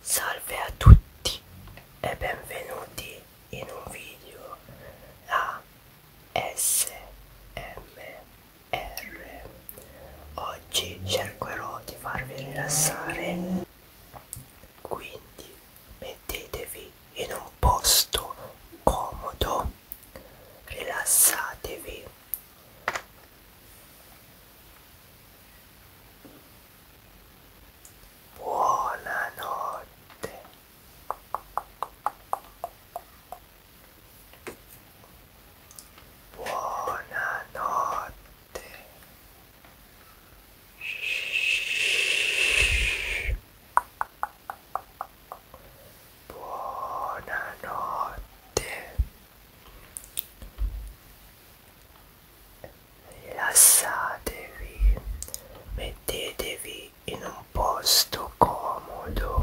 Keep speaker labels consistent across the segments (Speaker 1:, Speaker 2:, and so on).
Speaker 1: Salve a tutti e benvenuti in un video a SMR. Oggi cercherò di farvi rilassare quindi mettetevi in
Speaker 2: un posto comodo rilassatevi buonanotte buonanotte Buonanotte. Rilassatevi. Mettetevi in un posto comodo.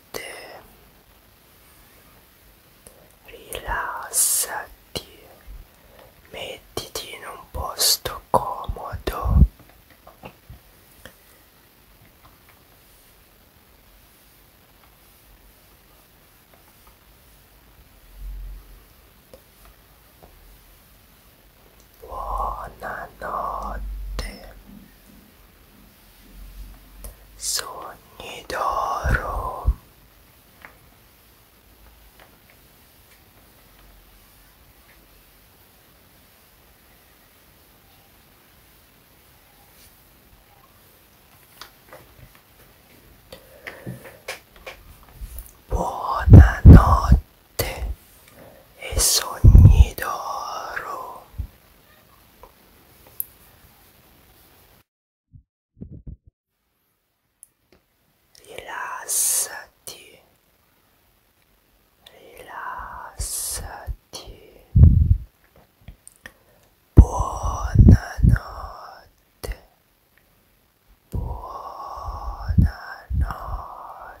Speaker 2: notte
Speaker 1: rilassati mettiti in un posto comodo
Speaker 2: Buonanotte.
Speaker 1: Sogni d'oro. Buonanotte notte e sogni d'oro. Rilassati, rilassati. Buonanotte, buonanotte.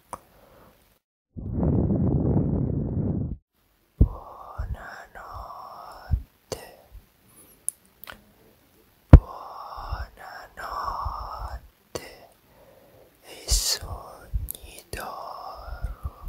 Speaker 1: Buonanotte. Buonanotte e sogni d'oro.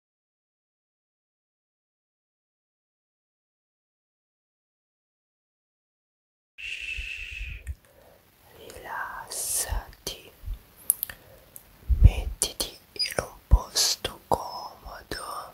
Speaker 1: rilassati mettiti in un posto comodo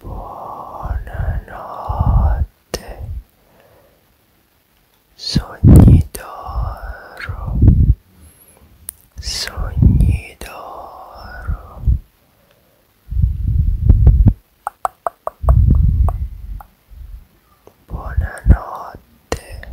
Speaker 1: buonanotte, sogni d'oro, sogni d'oro. Buonanotte.